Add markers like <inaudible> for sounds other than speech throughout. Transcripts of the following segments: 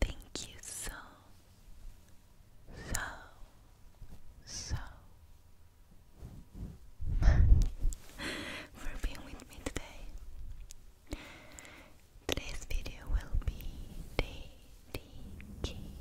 Thank you so, so, so much for being with me today. Today's video will be dedicated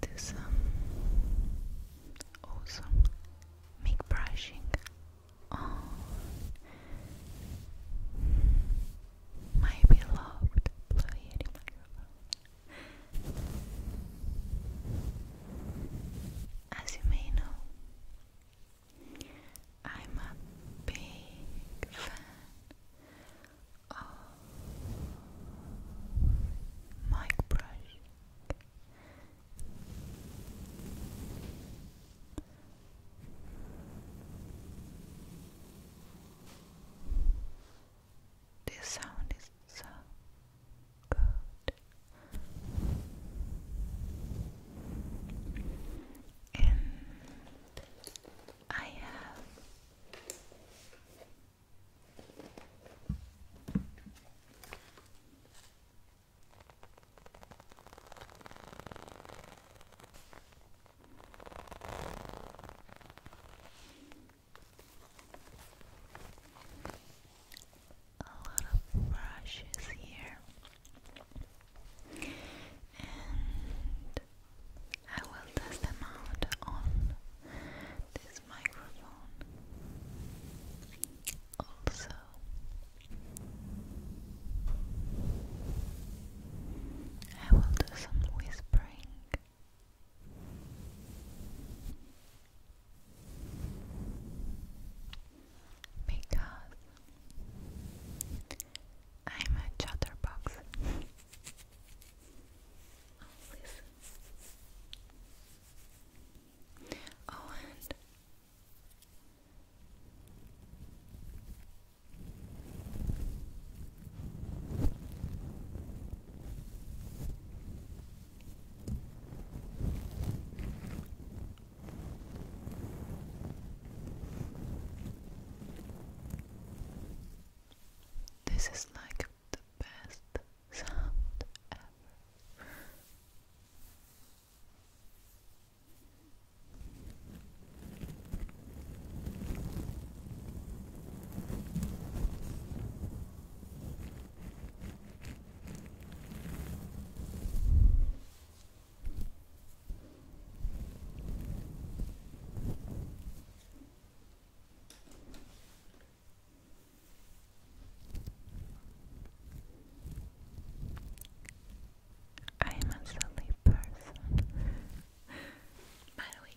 do some awesome make brushing my beloved As you may know, I'm a big fan of oh. mic brush. This sound is so good. And I have a lot of brushes here, and I will test them out on this microphone also I will do some whispering because I'm a chatterbox. listen <laughs> Oh, and this is like best sound ever. I am a silly person. By the way.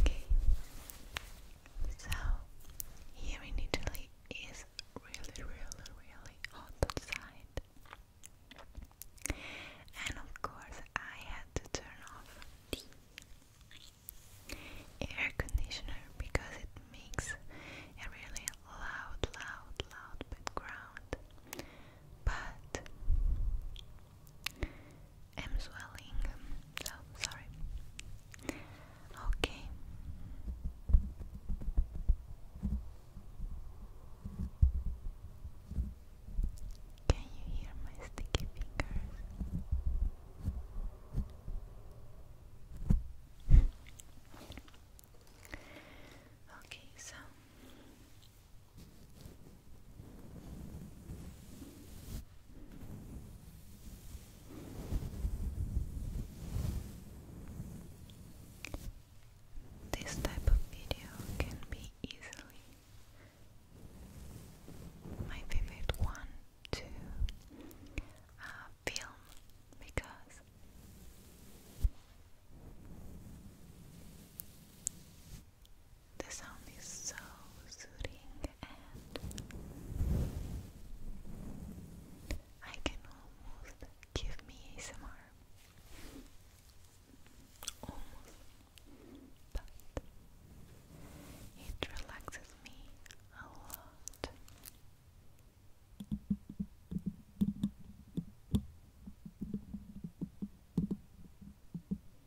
Okay, so here in Italy is really, really, really hot outside, and of course, I had to turn off the air conditioner because it makes a really loud, loud, loud background. But I'm swelling, so sorry. Okay. Can you hear my sticky fingers? <laughs> okay, so this type of video can be easily my favorite one to uh, film because the sound is so soothing and I can almost give me ASMR. Almost. But it relaxes me a lot.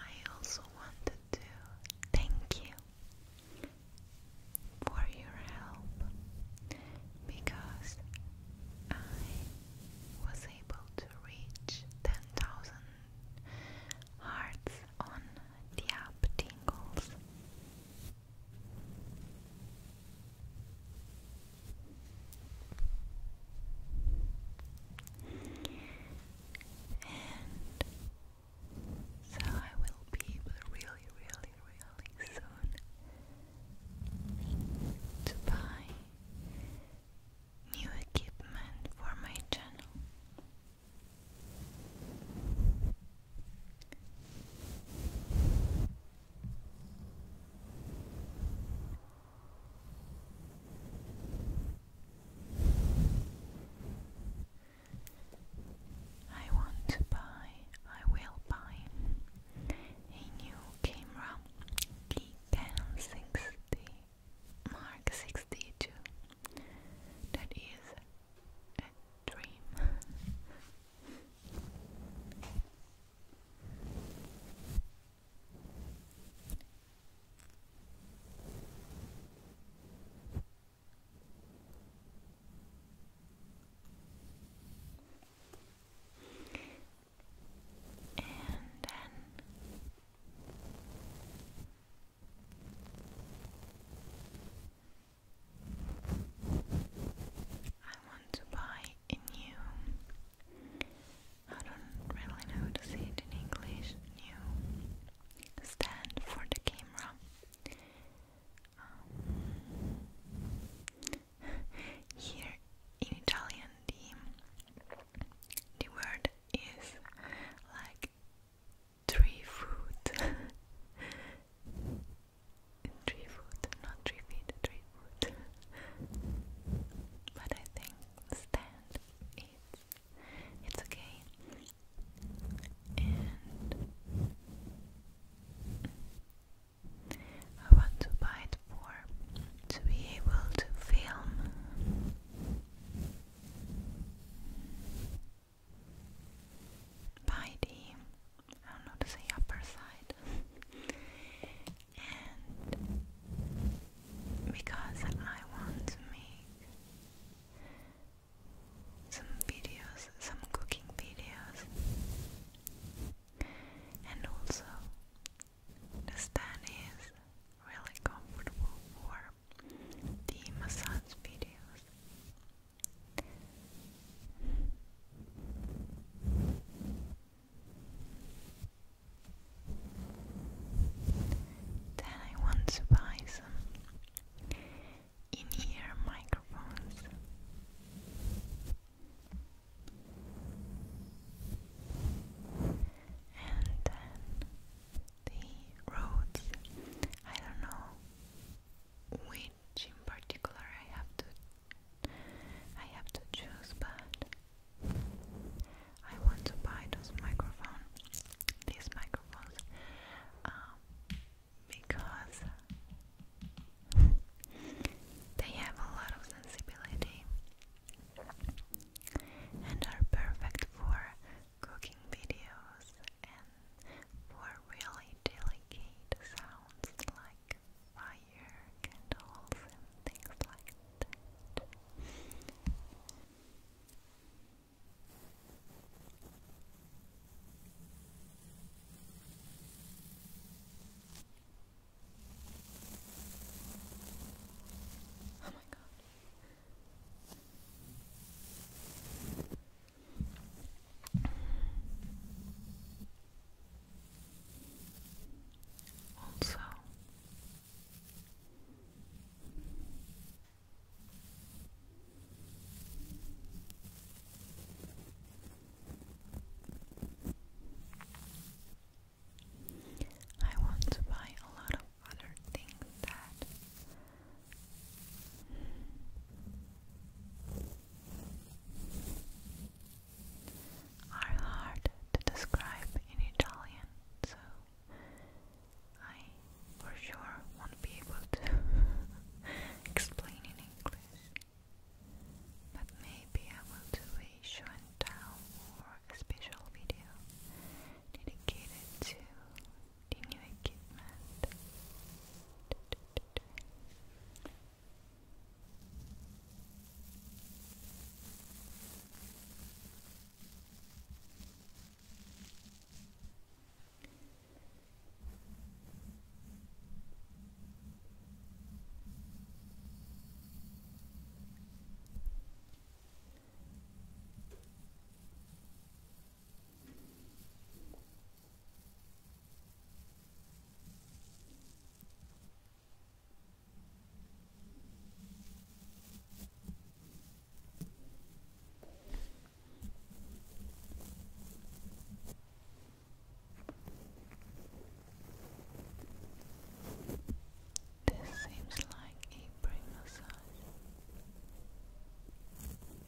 I also wanted to thank you for your help because I was able to reach 10,000 hearts on the app Tingles. And so I will be able really, really, really soon to buy new equipment for my channel. I want to buy, I will buy a new camera, the 1060 Mark 62. That is dream. And then I want to buy a new. I don't really know how to say it in English. New stand for the camera. Um, <laughs> here in Italian, the the word is like Three food. <laughs> tree food, not tree feet, tree food. but I think stand it's it's okay. And I want to buy it for to be able to film by the I don't know to say upper side, and because I want to make some videos, some cooking videos, and also the stand is really comfortable for the massage videos. Then I want to buy some in-ear microphones. And then the roads. I don't know which in particular I have to I have to choose but I want to buy those microphone these microphones um, because they have a lot of sensibility and are perfect for cooking videos and for really delicate sounds like fire, candles and things like that. Oh my god. Also, I want to buy a lot of other things that are hard to describe in Italian, so I for sure won't be able to <laughs> explain in English. But maybe I will do a show and tell or a special video dedicated to the new equipment. Now this seems like a brain massage.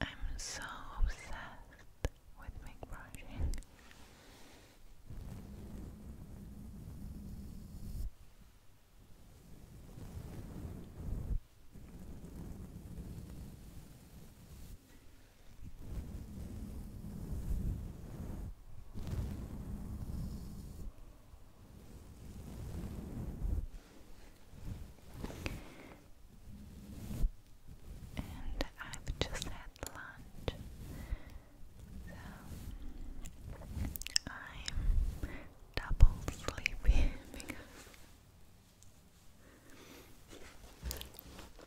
I'm so obsessed with make brushing and I've just had lunch, so I'm double sleepy <laughs>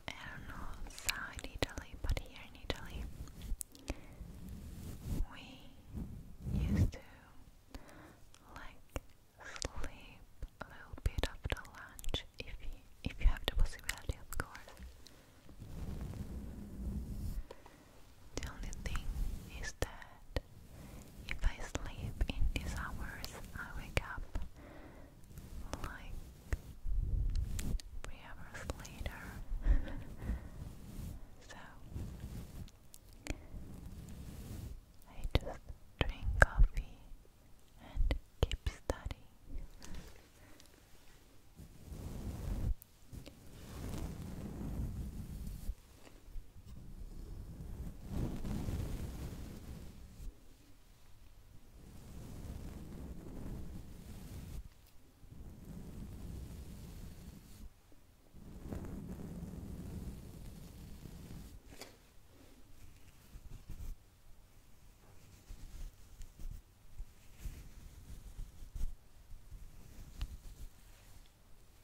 I don't know outside Italy, but here in Italy we used to like sleep a little bit after lunch if you, if you have the possibility, of course. The only thing is that if I sleep in these hours, I wake up like hours later. <laughs> so I just drink coffee and keep studying.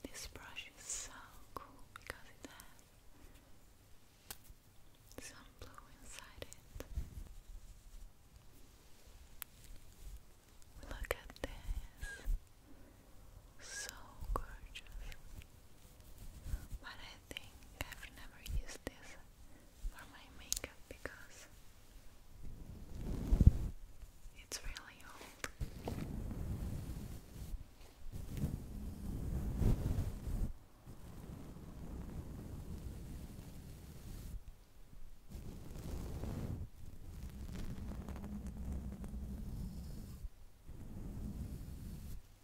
This brush is so cool because it has some blue inside it. Look at this. So gorgeous. But I I've never used this for my makeup because it's really old.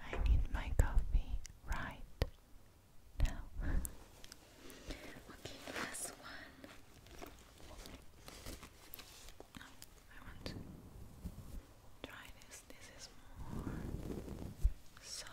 I need my coffee right now. okay, last one. I want try this. This is more soft.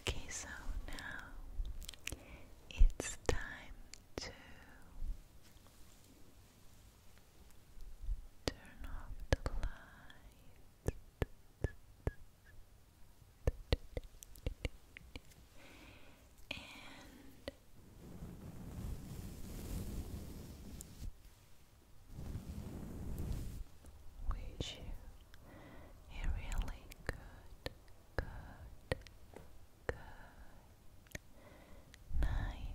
Okay, so now it's time to turn off the light. Wish you a really good, good, good night.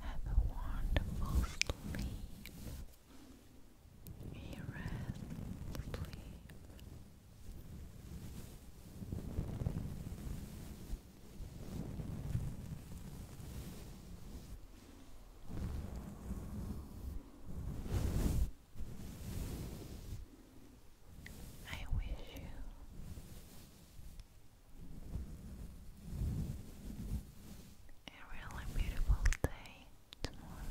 Have a wonderful sleep. A restful sleep. I wish you a really beautiful day tomorrow.